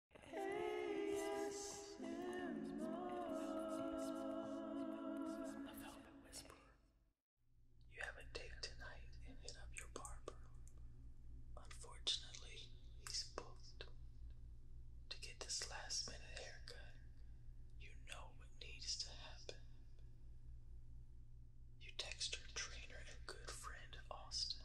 You have a date tonight and hit up your barber. Unfortunately, he's booked. To get this last minute haircut, you know what needs to happen. You text your trainer and a good friend Austin.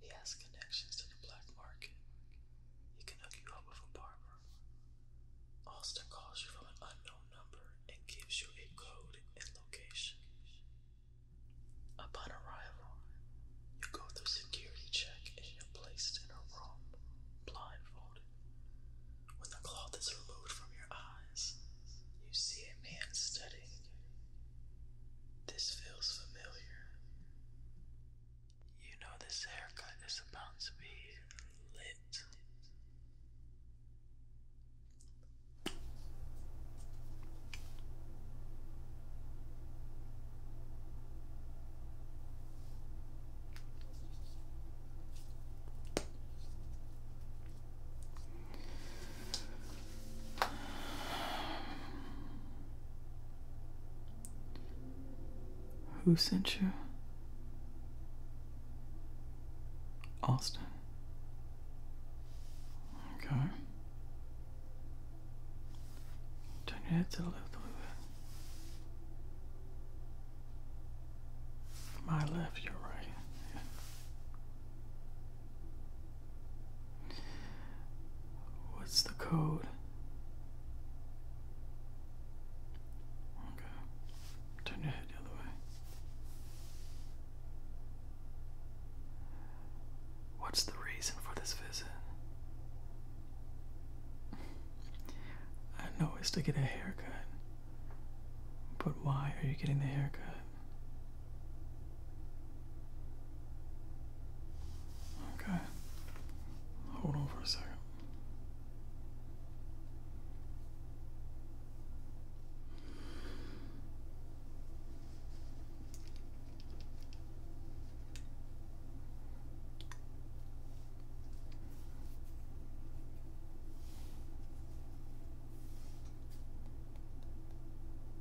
He has connections to the black market. He can hook you up with a barber. Austin calls you from an unknown number and gives you a code and location. Upon arrival, you go through security check and you're placed in a room, blindfolded. When the cloth is removed from your eyes, you see a man studying this feels familiar. You know, this haircut is about to be lit. Who sent you? Austin. Okay. Turn your head to the left a little bit. My left, your right. Yeah. What's the code? Okay. Turn your head the other way. What's the reason for this visit? I know it's to get a haircut. But why are you getting the haircut? Okay. Hold on for a second.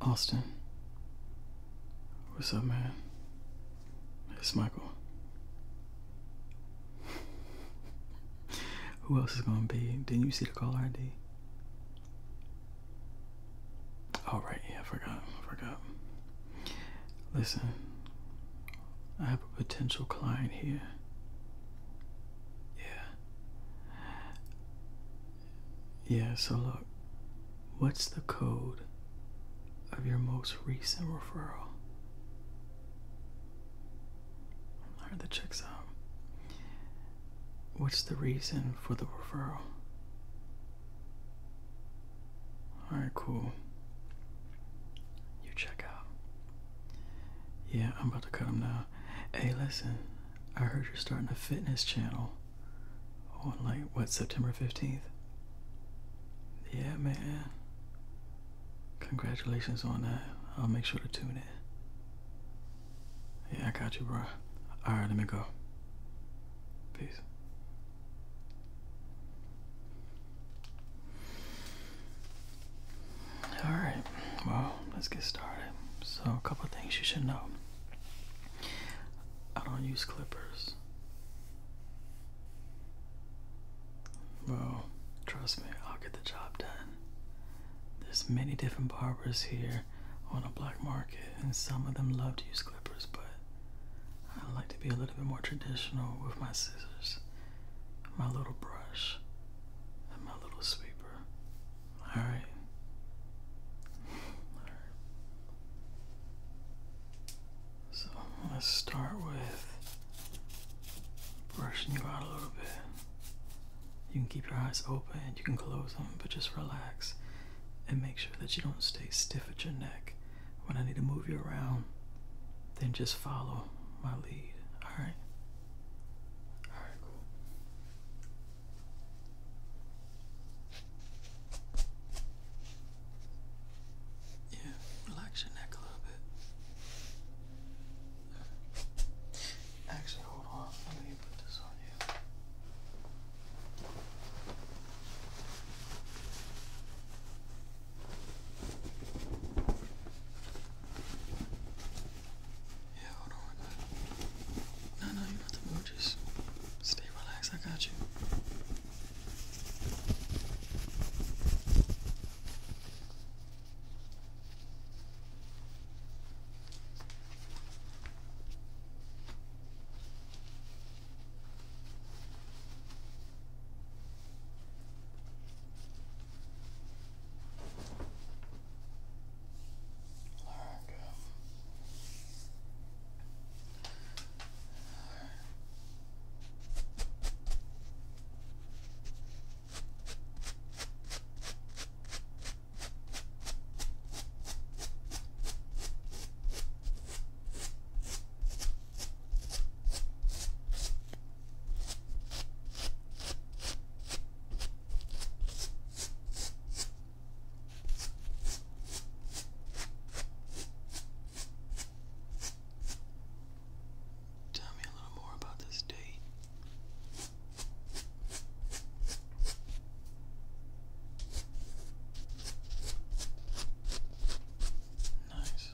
Austin. What's up, man? It's Michael. Who else is gonna be? Didn't you see the call ID? All oh, right, yeah, I forgot. I forgot. Listen, I have a potential client here. Yeah, yeah, so look, what's the code of your most recent referral? I the checks out. What's the reason for the referral? Alright, cool. You check out. Yeah, I'm about to cut him now. Hey, listen. I heard you're starting a fitness channel on like what September 15th. Yeah, man. Congratulations on that. I'll make sure to tune in. Yeah, I got you, bro. All right, let me go. Peace. All right, well, let's get started. So, a couple things you should know. I don't use clippers. Well, trust me, I'll get the job done. There's many different barbers here on a black market, and some of them love to use clippers, but I like to be a little bit more traditional with my scissors, my little brush, and my little sweeper. All right. All right. So let's start with brushing you out a little bit. You can keep your eyes open, you can close them, but just relax and make sure that you don't stay stiff at your neck. When I need to move you around, then just follow my lead. All right. Alright, cool. Yeah, relax your neck a little bit. Actually, hold on. Let me put this on you. Yeah, hold on, No, no, you're not to move. stay relaxed. I got you. Like, um, Tell me a little more about this date. Nice.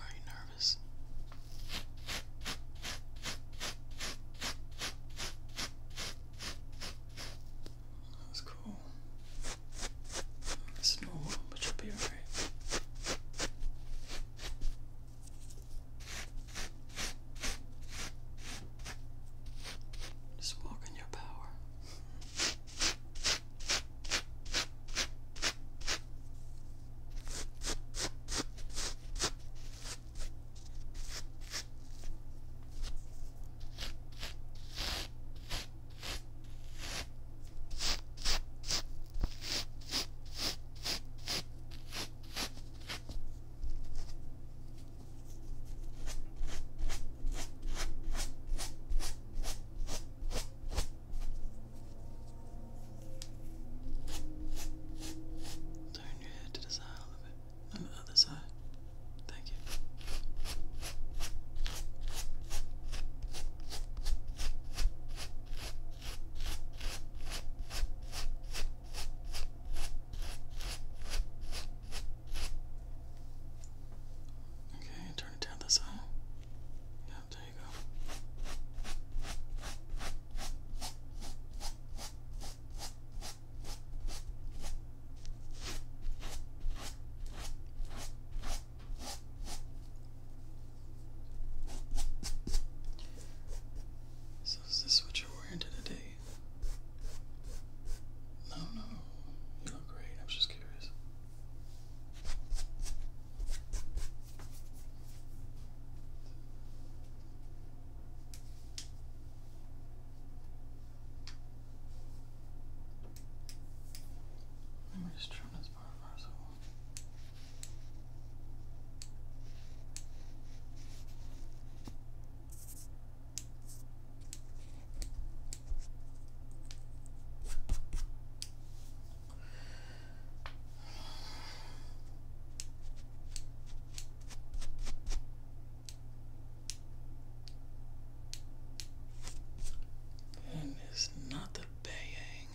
Are you nervous? That's cool. It's normal, but you'll be alright. Just walk in your power. Turn your head to the side a bit. On the other side. Thank you. Okay, turn it down this way. Yeah, there you go. So is this what you're wearing today? No, no. You look great. I am just curious. Let me just trim this part first. And it's not the bang.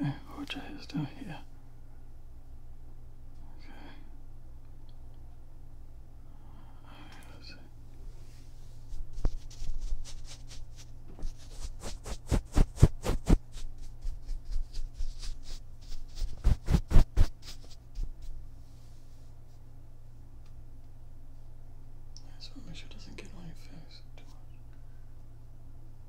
Okay, OJ is down here. Okay. right, let's make sure it doesn't get on your face too much.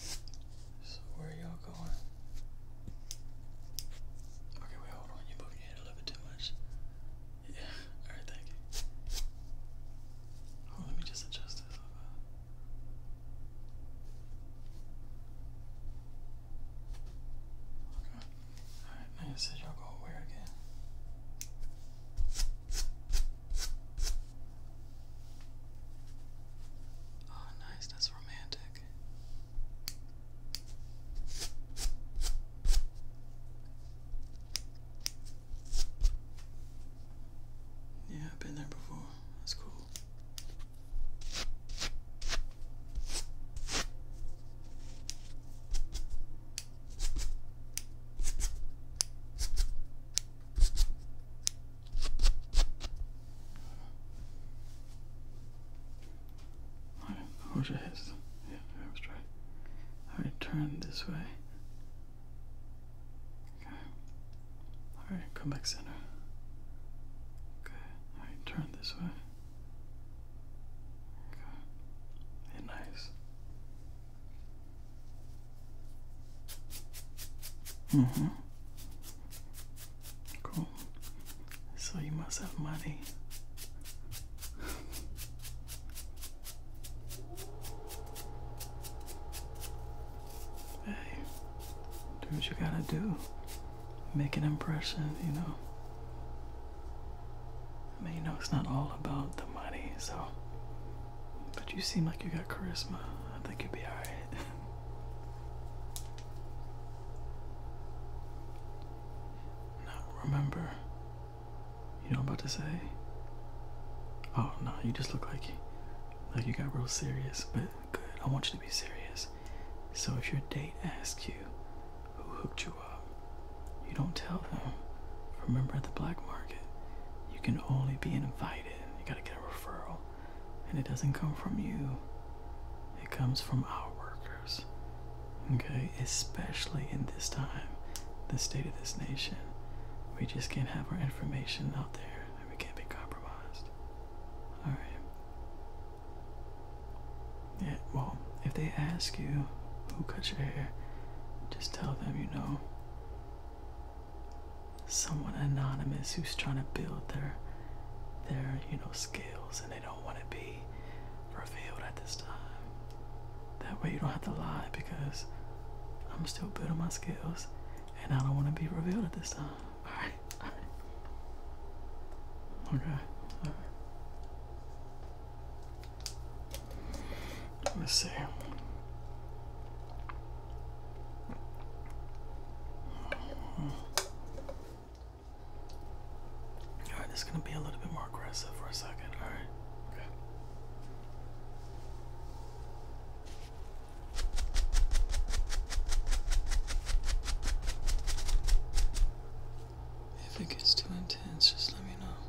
So where are y'all going? Okay, wait, hold on. You're your head a little bit too much. Yeah, alright, thank you. let me just adjust this Okay. Alright, now you said y'all going where again? Oh, nice, that's romantic. Yeah, I've been there before. That's cool. Alright, hold your hips. Yeah, that was right. turn this way. Okay. Alright, come back center. Okay. Alright, turn this way. Okay. nice. Mm-hmm. Cool. So you must have money. hey, do what you gotta do. Make an impression, you know. I mean, you know, it's not all about the money, so but you seem like you got charisma. I think you'd be alright. now remember, you know what I'm about to say? Oh no, you just look like like you got real serious, but good. I want you to be serious. So if your date asks you who hooked you up, you don't tell them. Remember at the black market, you can only be invited. You gotta get a referral. And it doesn't come from you, it comes from our workers. Okay? Especially in this time, the state of this nation. We just can't have our information out there and we can't be compromised. Alright. Yeah, well, if they ask you who cut your hair, just tell them you know someone anonymous who's trying to build their their you know skills and they don't want to be revealed at this time that way you don't have to lie because i'm still building my skills and i don't want to be revealed at this time all right all right okay all right Let's see. Alright, this is gonna be a little bit more aggressive for a second. Alright, okay. If it gets too intense, just let me know.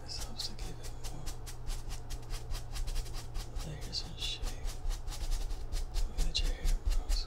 this helps to give it more layers and shape the your hair grows.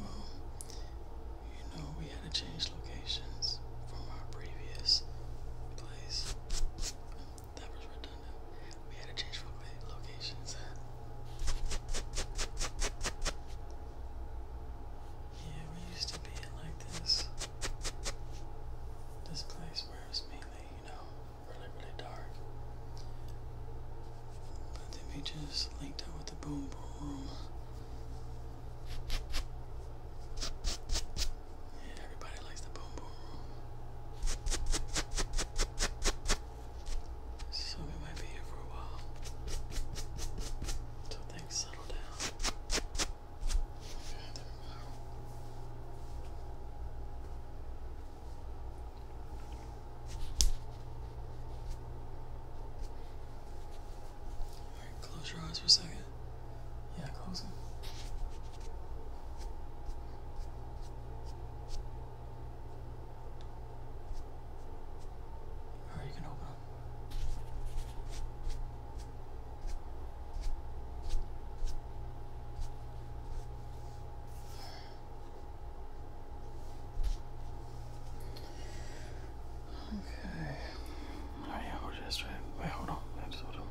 well, you know, we had to change locations from our previous place. That was redundant. We had to change locations Yeah, we used to be like this. This place where mainly, you know, really, really dark. But the image is linked up with the boom boom. Yeah, everybody likes the boom boom room. So we might be here for a while. Until things settle down. Okay, there we go close your eyes for a second. Yeah, close them. Alright, you can open Okay. Alright, yeah, go to Wait, hold on. That's hold on.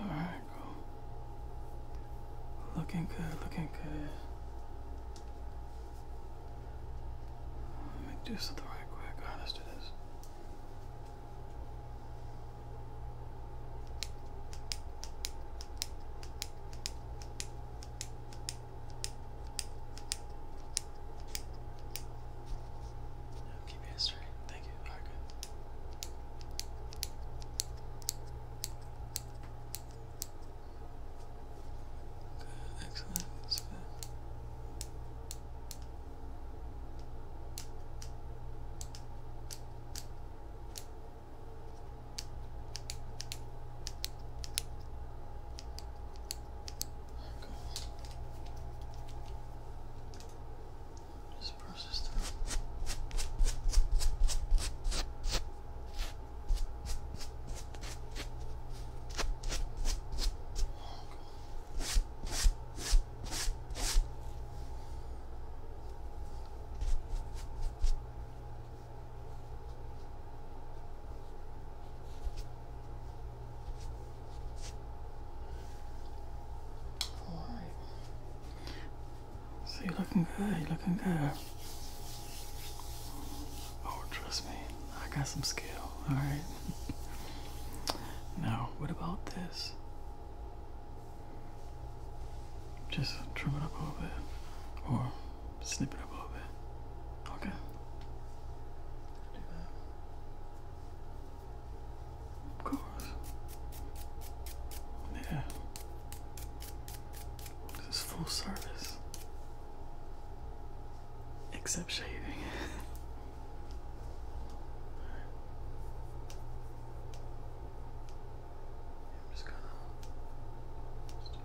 Alright, cool. Looking good, looking good. Let me do something quick. Alright, let no, keep Thank you. All right, good. excellent. good. Just process through. Oh, so you're looking good, you're looking good. Oh, trust me, I got some skill, alright? now, what about this? Just trim it up a little bit or snip it up a little bit. Okay. Do that. Of course. Yeah. This is full service. Except shaving. I'm just gonna. Just do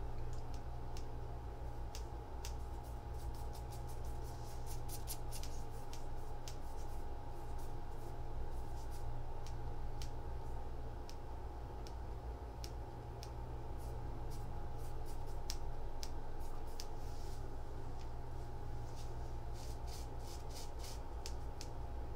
Okay.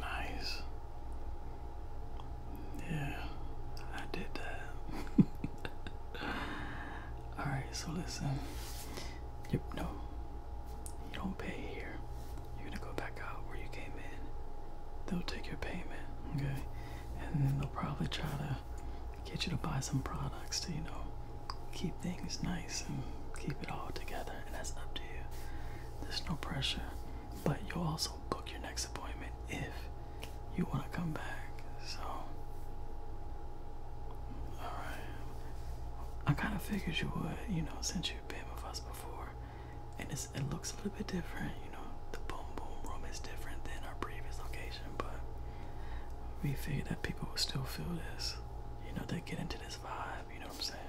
Nice. Yeah, I did that. Alright, so listen. Yep, no. You don't pay here. You're gonna go back out where you came in. They'll take your payment, okay? And then they'll probably try to get you to buy some products to, you know, keep things nice and keep it all together. And that's up to you. There's no pressure. But you'll also book your next appointment if you want to come back. So, alright. I kind of figured you would, you know, since you've been with us before. And it's, it looks a little bit different, you know. The boom boom room is different than our previous location, but we figured that people would still feel this. You know, they get into this vibe, you know what I'm saying?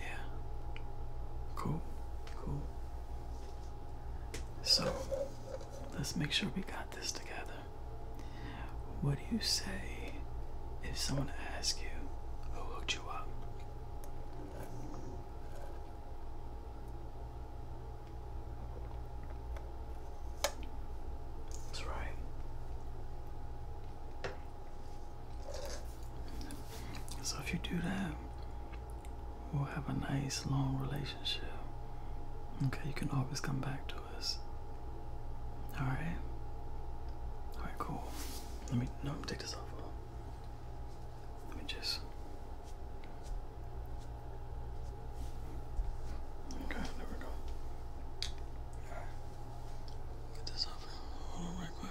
Yeah. Cool. Cool. So Let's make sure we got this together. What do you say if someone asks you who hooked you up? That's right. So if you do that, we'll have a nice long relationship. Okay, you can always come back to us. Alright? Alright, cool. Let me, no, take this off. Let me just. Okay, there we go. Get this off. Hold on right quick.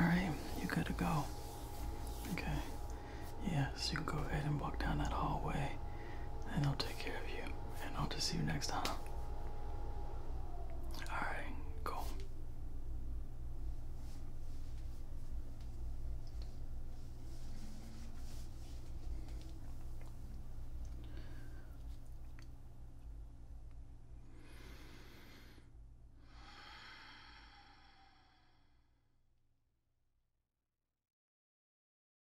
Alright, you gotta go. Okay. Yes, you can go ahead and walk down that hallway and I'll take care of you, and I'll just see you next time. Alright, cool.